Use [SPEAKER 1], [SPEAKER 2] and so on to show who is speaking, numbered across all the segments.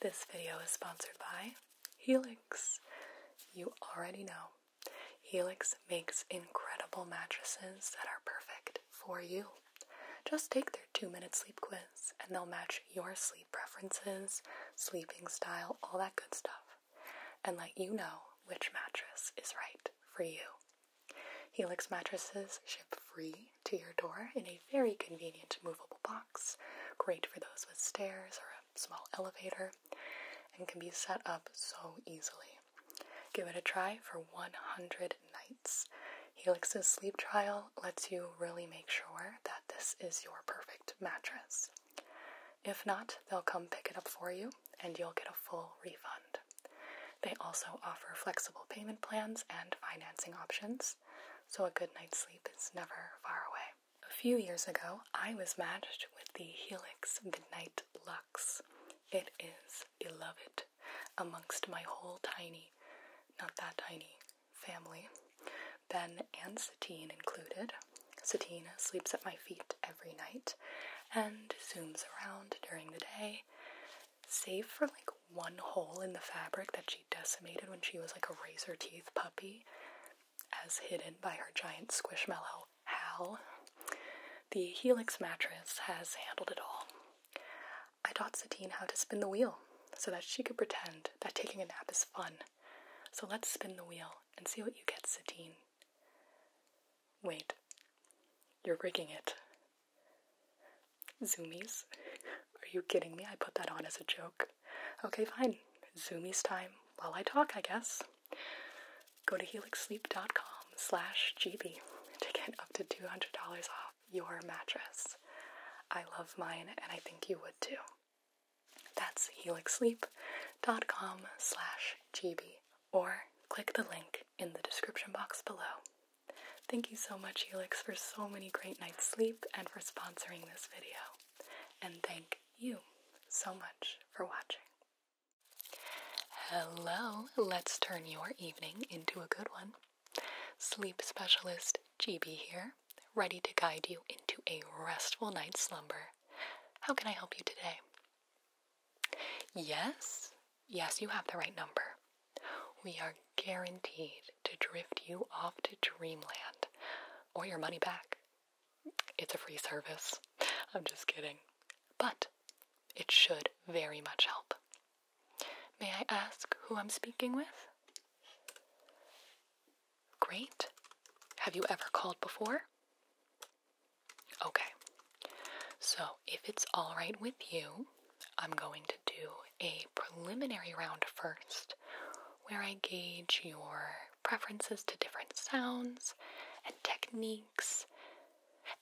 [SPEAKER 1] This video is sponsored by Helix. You already know. Helix makes incredible mattresses that are perfect for you. Just take their two minute sleep quiz and they'll match your sleep preferences, sleeping style, all that good stuff, and let you know which mattress is right for you. Helix mattresses ship free to your door in a very convenient movable box great for those with stairs or a small elevator, and can be set up so easily. Give it a try for 100 nights. Helix's sleep trial lets you really make sure that this is your perfect mattress. If not, they'll come pick it up for you and you'll get a full refund. They also offer flexible payment plans and financing options, so a good night's sleep is never far away. A few years ago, I was matched with the Helix Midnight Lux. It is beloved amongst my whole tiny, not that tiny, family. Ben and Satine included. Satine sleeps at my feet every night and zooms around during the day, save for like one hole in the fabric that she decimated when she was like a razor teeth puppy, as hidden by her giant squishmallow Hal. The Helix mattress has handled it all. I taught Satine how to spin the wheel so that she could pretend that taking a nap is fun. So let's spin the wheel and see what you get, Satine. Wait, you're rigging it. Zoomies? Are you kidding me? I put that on as a joke. Okay, fine. Zoomies time while I talk, I guess. Go to helixsleep.com slash GB to get up to $200 off your mattress. I love mine and I think you would too. That's helixsleep.com slash GB or click the link in the description box below. Thank you so much, Helix, for so many great nights' sleep and for sponsoring this video and thank you so much for watching. Hello, let's turn your evening into a good one. Sleep specialist GB here, ready to guide you into a restful night's slumber. How can I help you today? Yes, yes, you have the right number. We are guaranteed to drift you off to dreamland or your money back. It's a free service. I'm just kidding. But it should very much help. May I ask who I'm speaking with? Great. Have you ever called before? Okay. So, if it's alright with you, I'm going to do a preliminary round first, where I gauge your preferences to different sounds and techniques.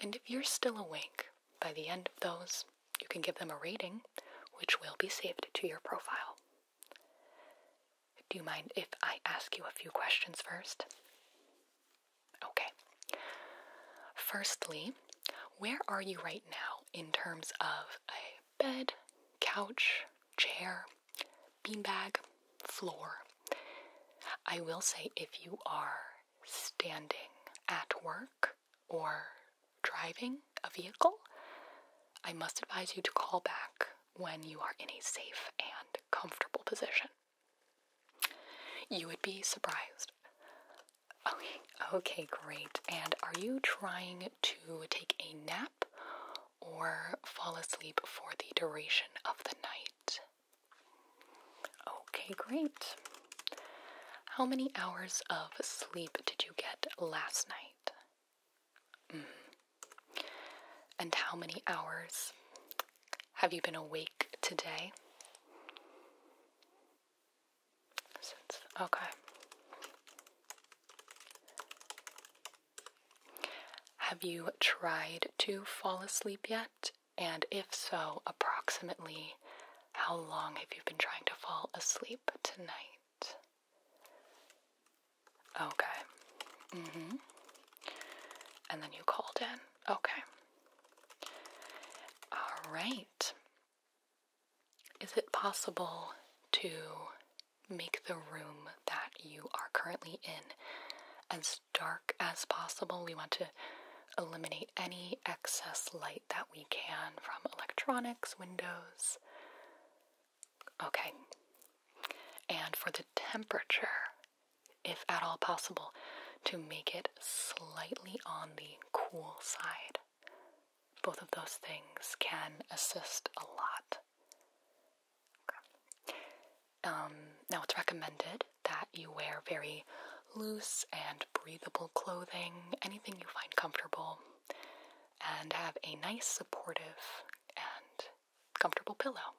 [SPEAKER 1] And if you're still awake by the end of those, you can give them a rating, which will be saved to your profile. Do you mind if I ask you a few questions first? Okay. Firstly, where are you right now in terms of a bed, couch, chair, beanbag, floor. I will say if you are standing at work or driving a vehicle, I must advise you to call back when you are in a safe and comfortable position. You would be surprised. Okay, Okay, great. And are you trying to take a nap or fall asleep for the duration of the night? Okay, great. How many hours of sleep did you get last night? Mm-hmm. And how many hours have you been awake today? okay. Have you tried to fall asleep yet? And if so, approximately how long have you been trying to fall asleep tonight? Okay. hmm. And then you called in. Okay. All right. Is it possible to make the room that you are currently in as dark as possible? We want to eliminate any excess light that we can from electronics, windows. Okay. And for the temperature, if at all possible, to make it slightly on the cool side both of those things can assist a lot. Um, now, it's recommended that you wear very loose and breathable clothing, anything you find comfortable, and have a nice, supportive, and comfortable pillow.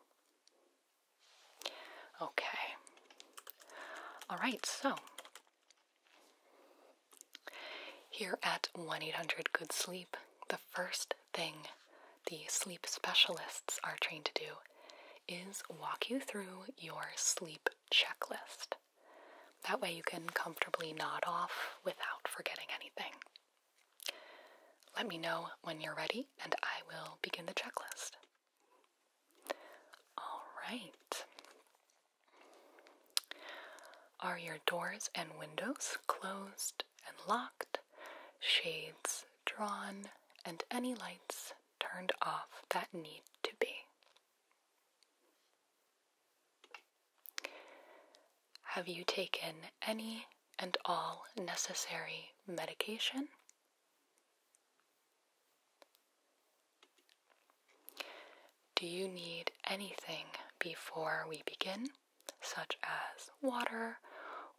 [SPEAKER 1] Okay. All right, so here at 1 800 Good Sleep, the first thing the sleep specialists are trained to do is walk you through your sleep checklist. That way, you can comfortably nod off without forgetting anything. Let me know when you're ready, and I will begin the checklist. All right. Are your doors and windows closed and locked, shades drawn, and any lights turned off that need to be? Have you taken any and all necessary medication? Do you need anything before we begin, such as water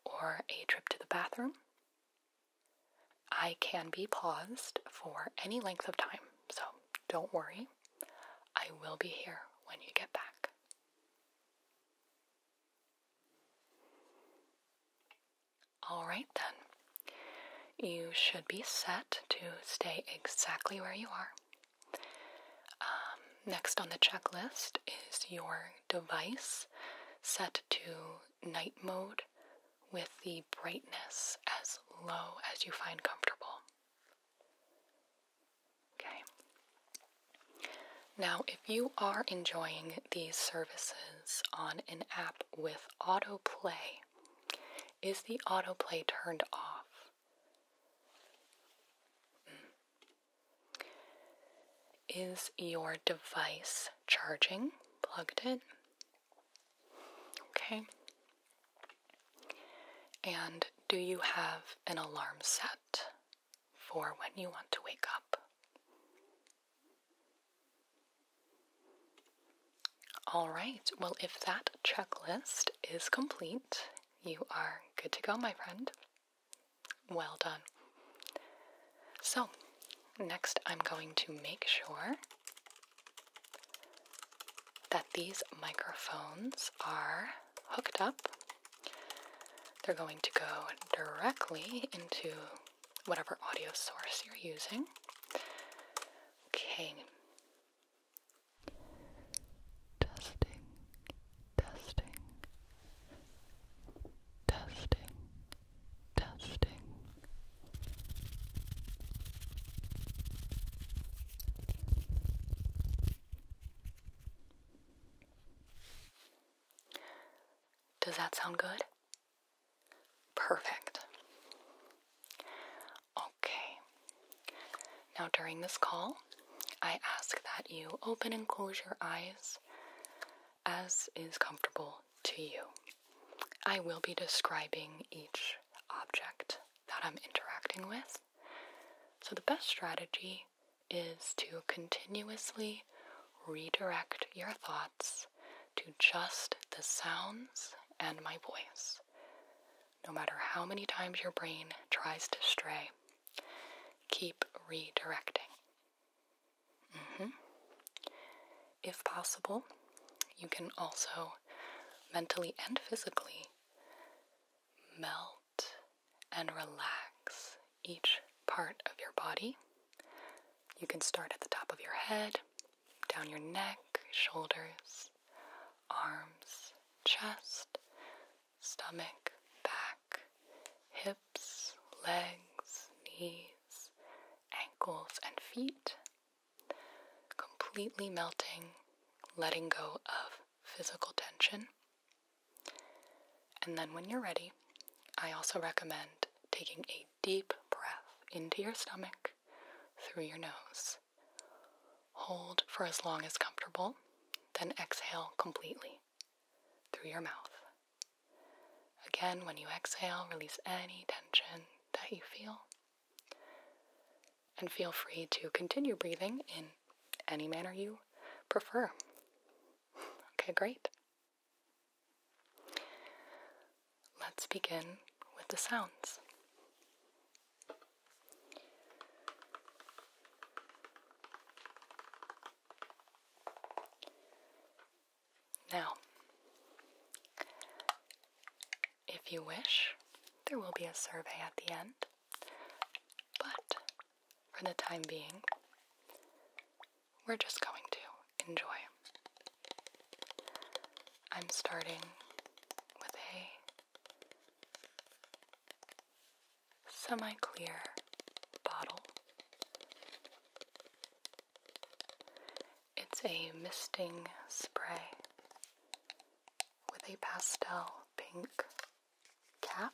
[SPEAKER 1] or a trip to the bathroom? I can be paused for any length of time, so don't worry. I will be here when you get back. Alright then, you should be set to stay exactly where you are um, next on the checklist is your device set to night mode with the brightness as low as you find comfortable. Okay. Now, if you are enjoying these services on an app with autoplay, is the autoplay turned off? Is your device charging? Plugged in? Okay. And do you have an alarm set for when you want to wake up? All right, well, if that checklist is complete you are good to go, my friend. Well done. So, next I'm going to make sure that these microphones are hooked up. They're going to go directly into whatever audio source you're using. Okay, testing, testing, testing, testing. Does that sound good? Perfect. Okay. Now, during this call, I ask that you open and close your eyes as is comfortable to you. I will be describing each object that I'm interacting with. So, the best strategy is to continuously redirect your thoughts to just the sounds and my voice no matter how many times your brain tries to stray. Keep redirecting. Mm-hmm. If possible, you can also mentally and physically melt and relax each part of your body. You can start at the top of your head, down your neck, shoulders, arms, chest, stomach, back, hips, legs, knees, ankles, and feet. Completely melting, letting go of physical tension. And then when you're ready, I also recommend taking a deep breath into your stomach through your nose Hold for as long as comfortable, then exhale completely through your mouth. Again, when you exhale, release any tension that you feel. And feel free to continue breathing in any manner you prefer. Okay, great. Let's begin with the sounds. Now, if you wish, there will be a survey at the end, but for the time being, we're just going to enjoy. I'm starting with a semi clear bottle. It's a misting spray with a pastel pink cap.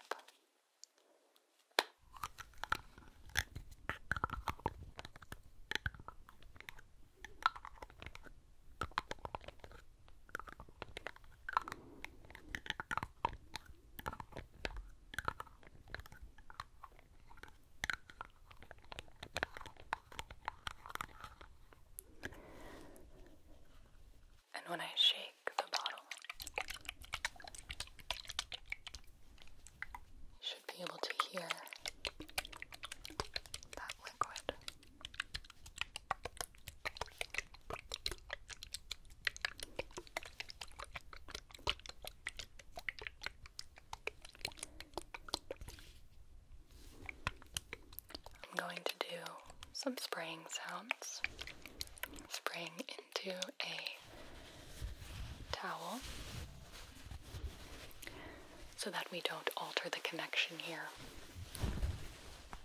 [SPEAKER 1] And when I shake the bottle, you should be able to hear that liquid. I'm going to do some spraying sounds. Spraying into a towel so that we don't alter the connection here.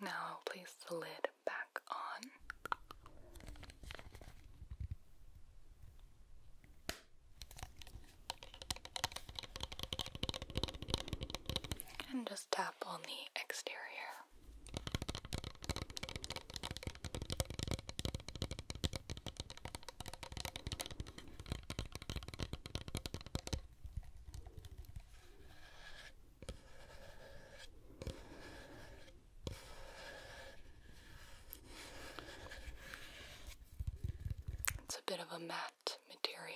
[SPEAKER 1] Now place the lid back on. And just tap on the exterior. It's a bit of a matte material.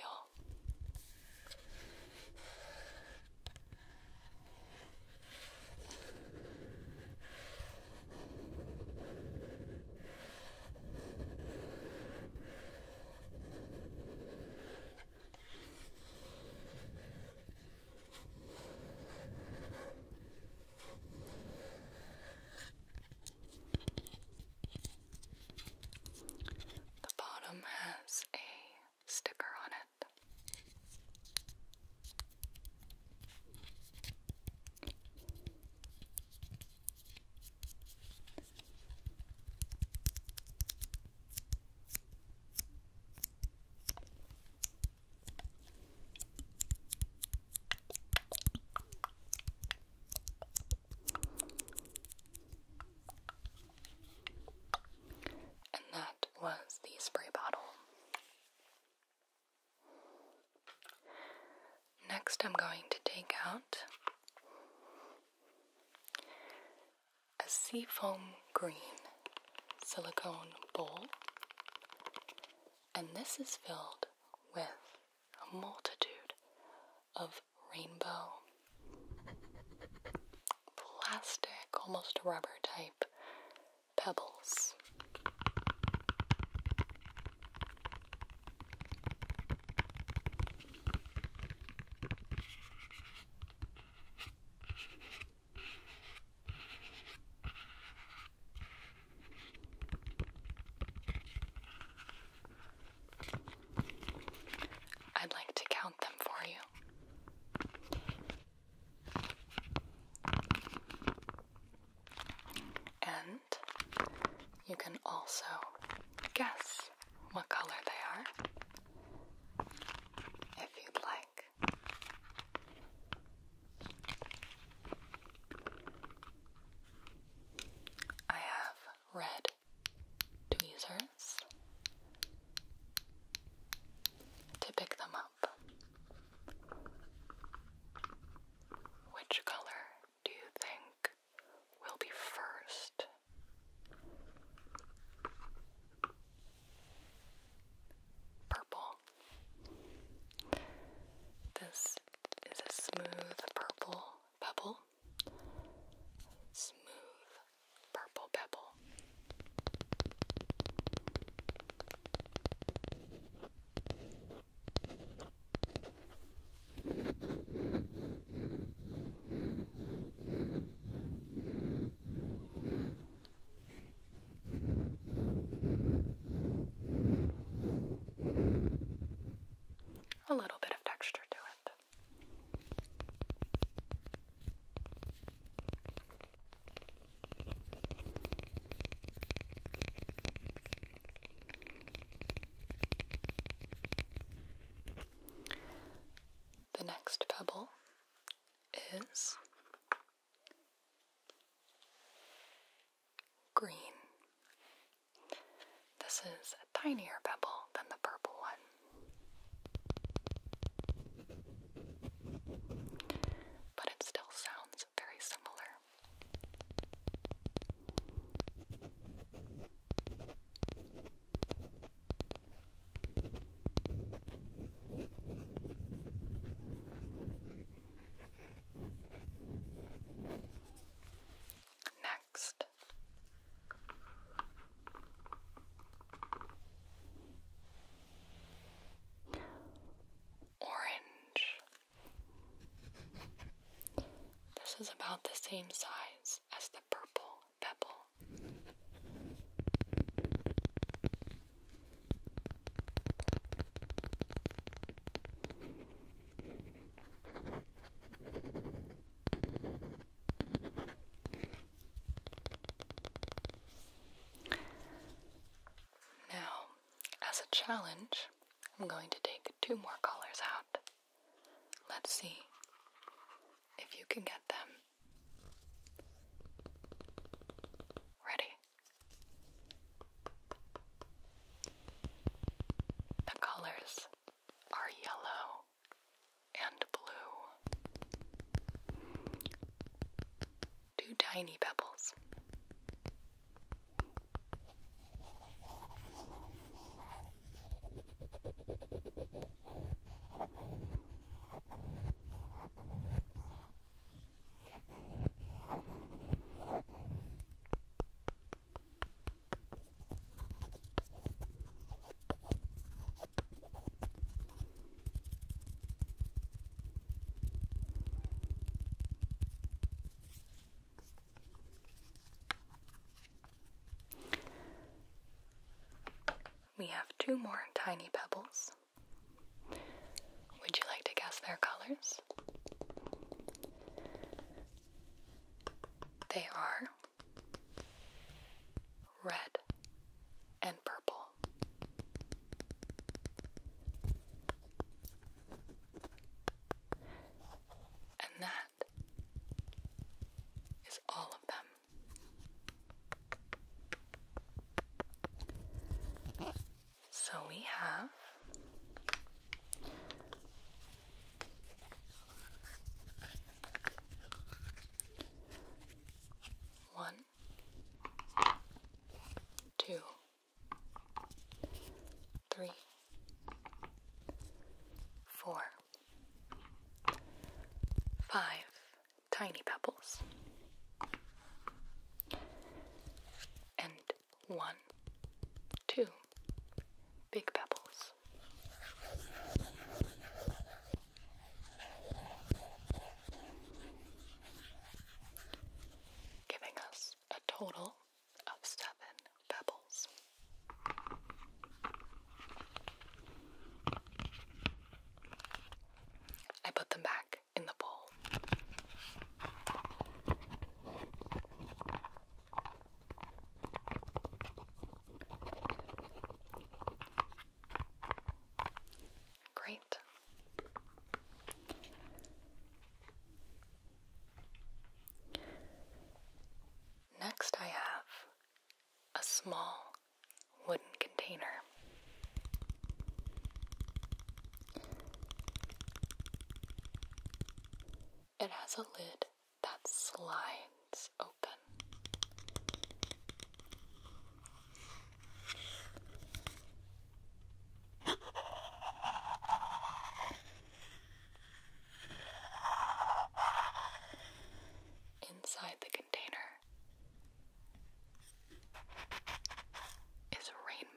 [SPEAKER 1] The bottom has a sticker on it. And that was the spray bottle. Next, I'm going to take out a seafoam green silicone bowl and this is filled with a multitude of rainbow plastic, almost rubber type pebbles. I'd like to count them for you. And you can also guess what color they are if you'd like. I have read to to pick them up. Which color do you think will be first? Purple. This is a smooth purple pebble. Smooth purple pebble. A little bit of texture to it. The next pebble is Green. This is a tinier pebble than the purple one. But it still sounds very similar. Next. Orange. This is about the same size as the purple pebble. Now, as a challenge, I'm going to take two more colors out. Let's see if you can get them. Ready? The colors are yellow and blue. Two tiny pebbles. We have two more tiny pebbles. Would you like to guess their colors? They are red and purple. And that is all of them. So we have one, two, three, four, five tiny pebbles and one, two big pebbles. Giving us a total of seven pebbles. I put them back in the bowl. Great. Next, I have a small wooden container. It has a lid that slides open. Inside the container is rainbow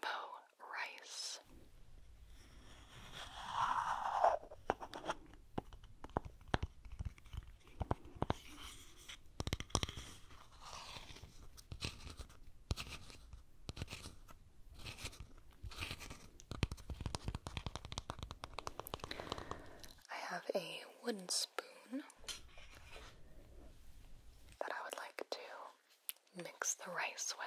[SPEAKER 1] rice. I have a wooden spoon that I would like to mix the rice with.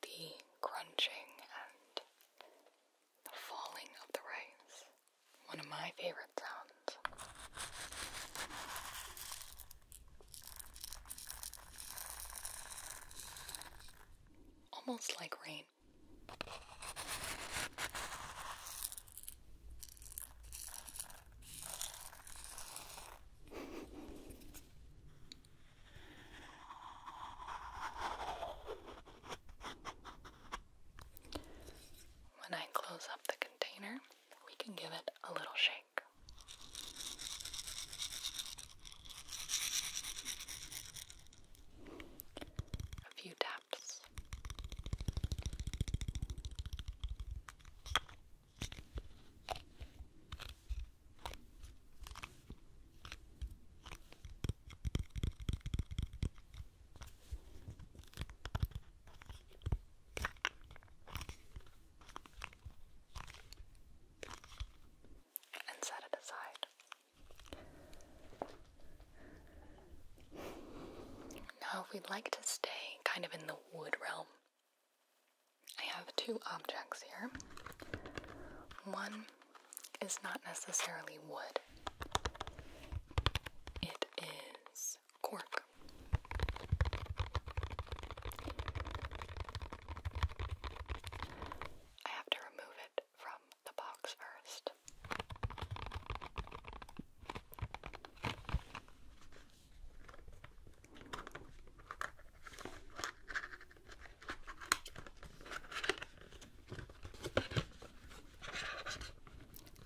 [SPEAKER 1] The crunching and the falling of the rice, one of my favorite sounds. Almost like rain. When I close up the container, we can give it a little shake like. A few taps and set it aside. Now, if we'd like to stay kind of in the wood realm, I have two objects here. One is not necessarily wood, it is cork. I have to remove it from the box first.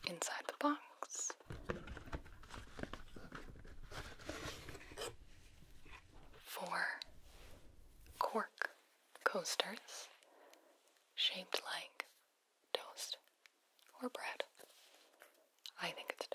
[SPEAKER 1] Inside the box Four cork coasters shaped like toast or bread. I think it's toast.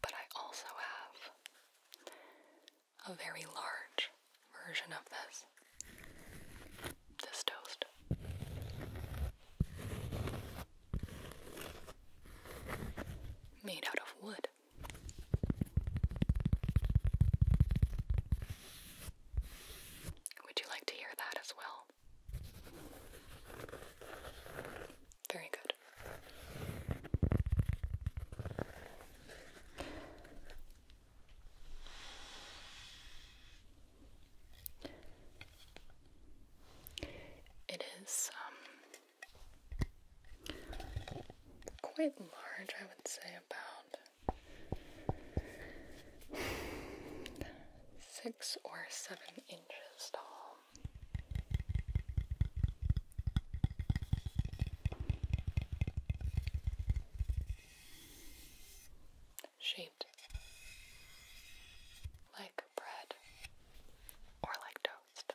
[SPEAKER 1] But I also have a very large version of this. This toast. Made out of wood. Would you like to hear that as well? Very good. It is um, quite large, I would say, about six or seven inches tall. Shaped like bread or like toast.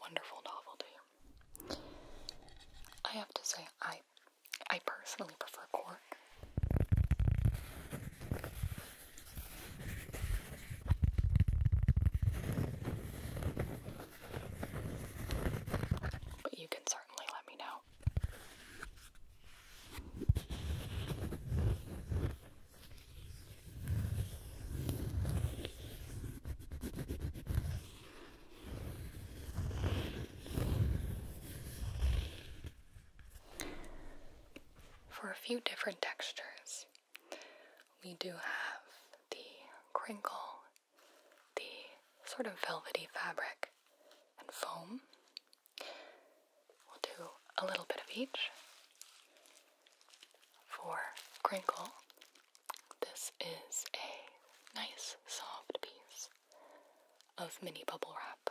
[SPEAKER 1] Wonderful novelty. I have to say, I I personally prefer cork you can certainly let me know. For a few different textures, we do have the crinkle, the sort of velvety fabric, and foam. We'll do a little bit of each. For crinkle, this is a nice soft piece of mini bubble wrap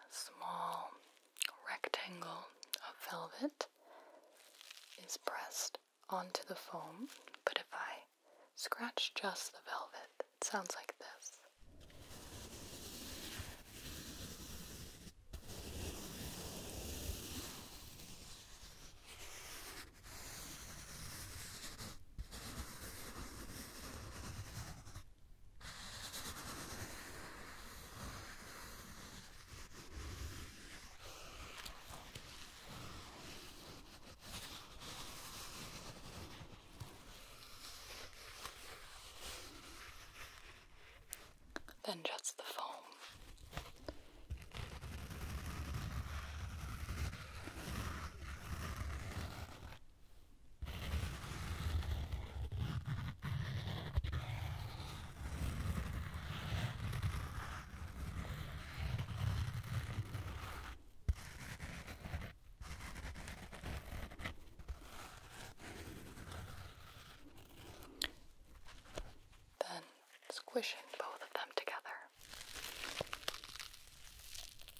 [SPEAKER 1] small rectangle of velvet is pressed onto the foam, but if I scratch just the velvet, it sounds like this. Then just the foam. Then squishing both of them together.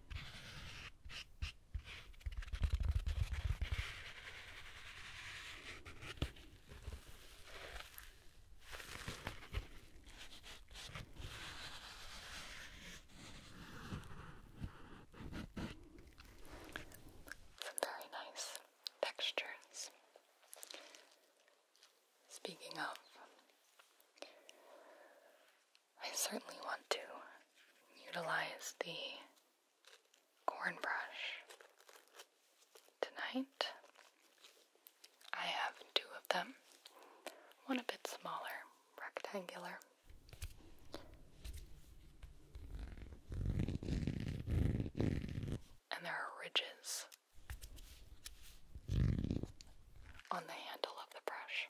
[SPEAKER 1] Some very nice textures. Speaking of, I certainly want to utilize the corn brush tonight. I have two of them, one a bit smaller, rectangular. And there are ridges on the handle of the brush.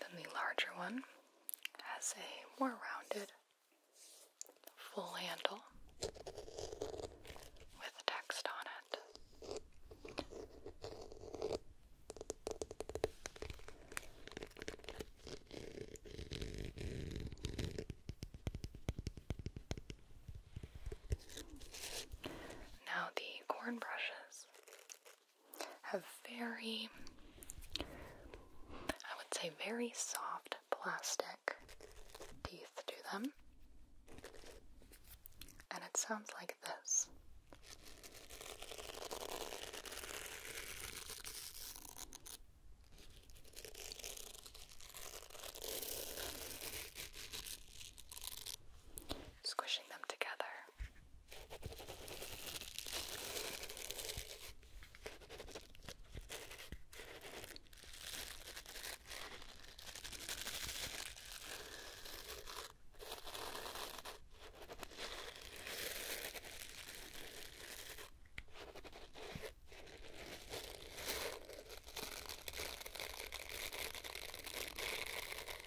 [SPEAKER 1] Then the larger one has a more rounded full handle with text on it. Now, the corn brushes have very, I would say, very soft plastic teeth to them. And it sounds like this squishing them together.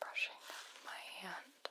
[SPEAKER 1] Brushing my hand. Brushing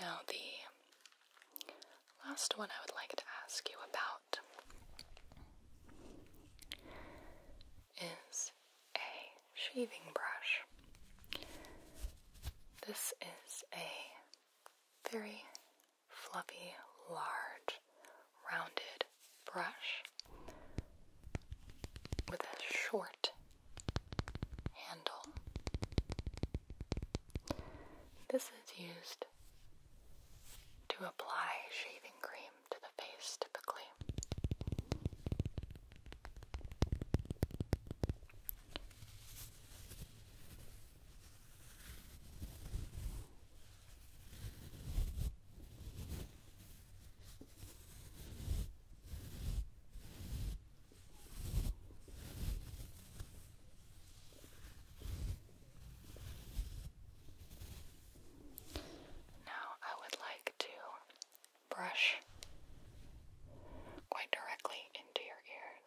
[SPEAKER 1] Lovely. Now, the last one I would like to ask you about is a shaving brush. This is a very fluffy, large, rounded brush with a short handle. This is used to apply shaving cream to the face typically. Now I would like to brush quite directly into your ears.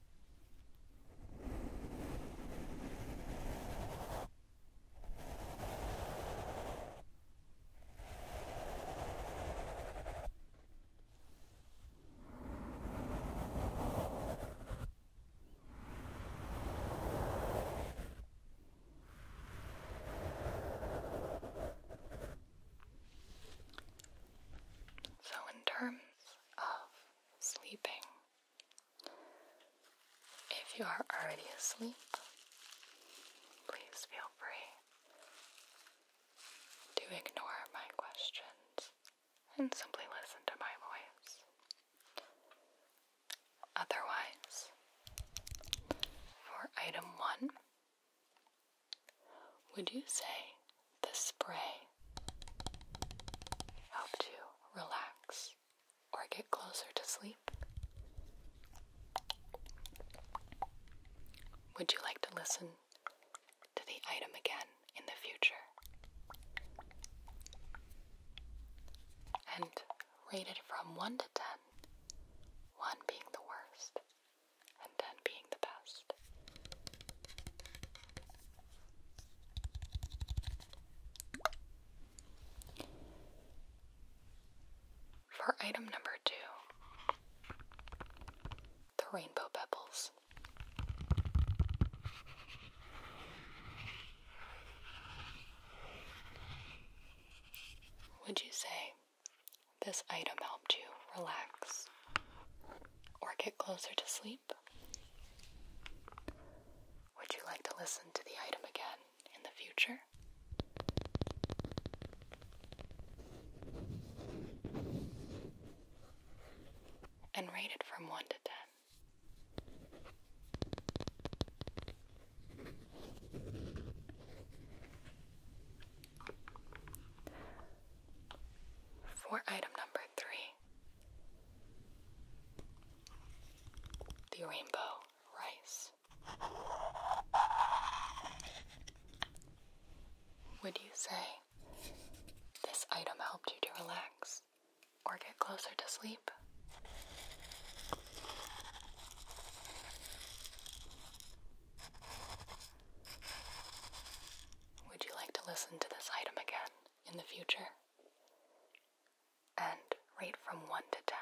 [SPEAKER 1] So, in terms of sleeping. If you are already asleep, please feel free to ignore my questions and simply listen to my voice. Otherwise, for item one, would you say the spray helped you relax or get closer to sleep. Would you like to listen to the item again in the future? And rated from 1 to 10, 1 being the worst and 10 being the best. For item number two, the rainbow pebbles. Would you say this item helped you relax? or get closer to sleep? Would you like to listen to the item again in the future? And rate it from 1 to 10. For item number three, the rainbow rice. Would you say this item helped you to relax or get closer to sleep? Would you like to listen to this item again? in the future and rate from 1 to 10.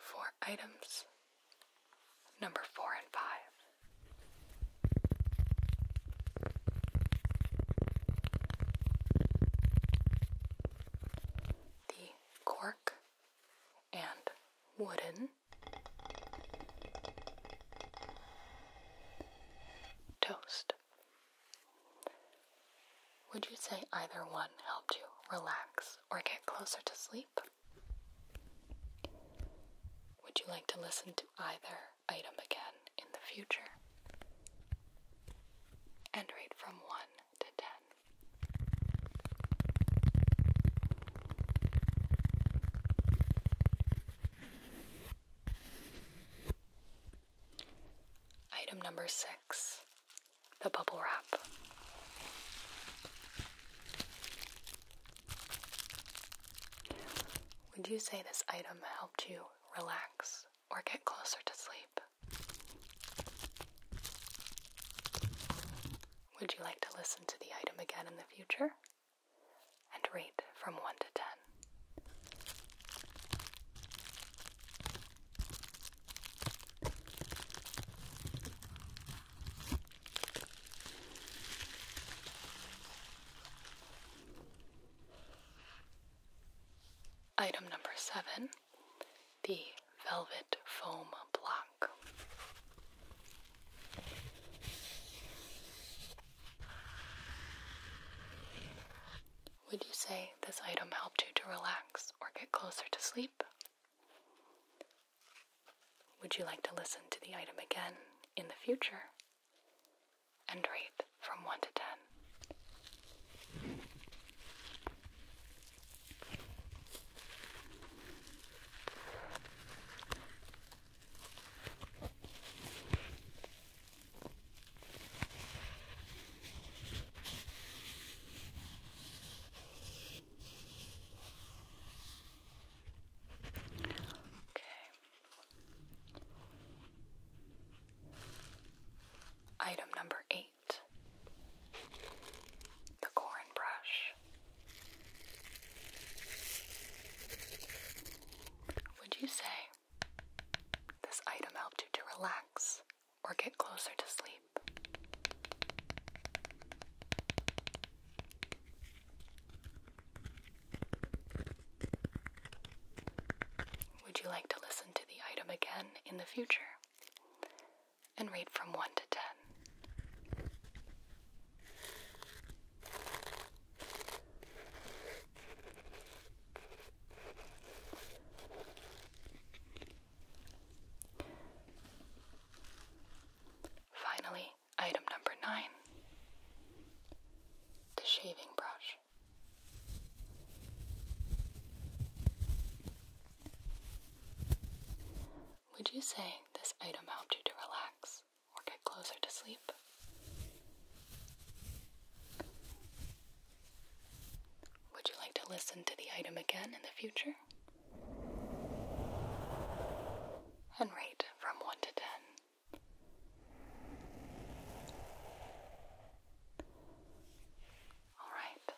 [SPEAKER 1] For items number four and five. The cork and wooden toast. Would you say either one helped you relax or get closer to sleep? Would you like to listen to either item again in the future? And rate from 1 to 10. Item number 6 the bubble wrap. Would you say this item helped you relax or get closer to sleep? Would you like to listen to the item again in the future? And rate from 1 to 10. Item number seven the velvet foam block. Would you say this item helped you to relax or get closer to sleep? Would you like to listen to the item again in the future and rate from 1 to 10? Item number eight the corn brush. Would you say this item helped you to relax or get closer to sleep? Would you like to listen to the item again in the future and rate from 1 to 10? Finally, Item number nine the shaving brush. Would you say this item helped you to relax or get closer to sleep? Would you like to listen to the item again in the future? And rate from 1 to 10 Alright,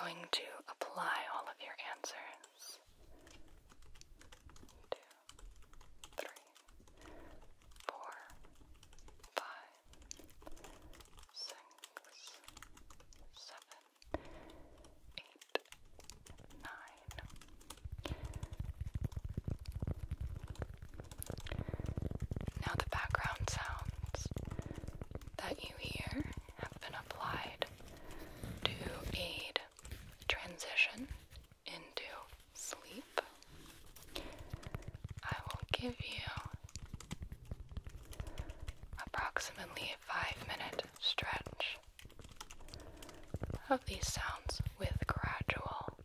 [SPEAKER 1] going to apply all of your answers. Two, three, four, five, six, seven, eight eight, nine. Now, the background sounds that you hear have been applied to aid transition into sleep. I will give you approximately a five minute stretch of these sounds with gradual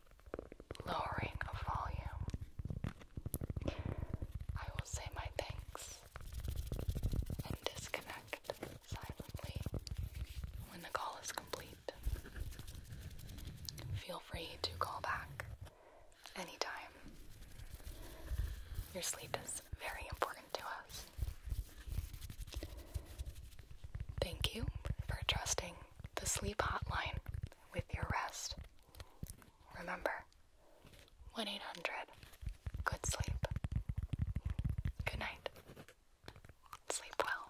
[SPEAKER 1] lowering of volume. I will say my thanks and disconnect silently when the call is complete. Feel free to call back anytime. Your sleep is very important to us. Thank you for trusting the sleep hotline with your rest. Remember 1 800 Good Sleep. Good night. Sleep well.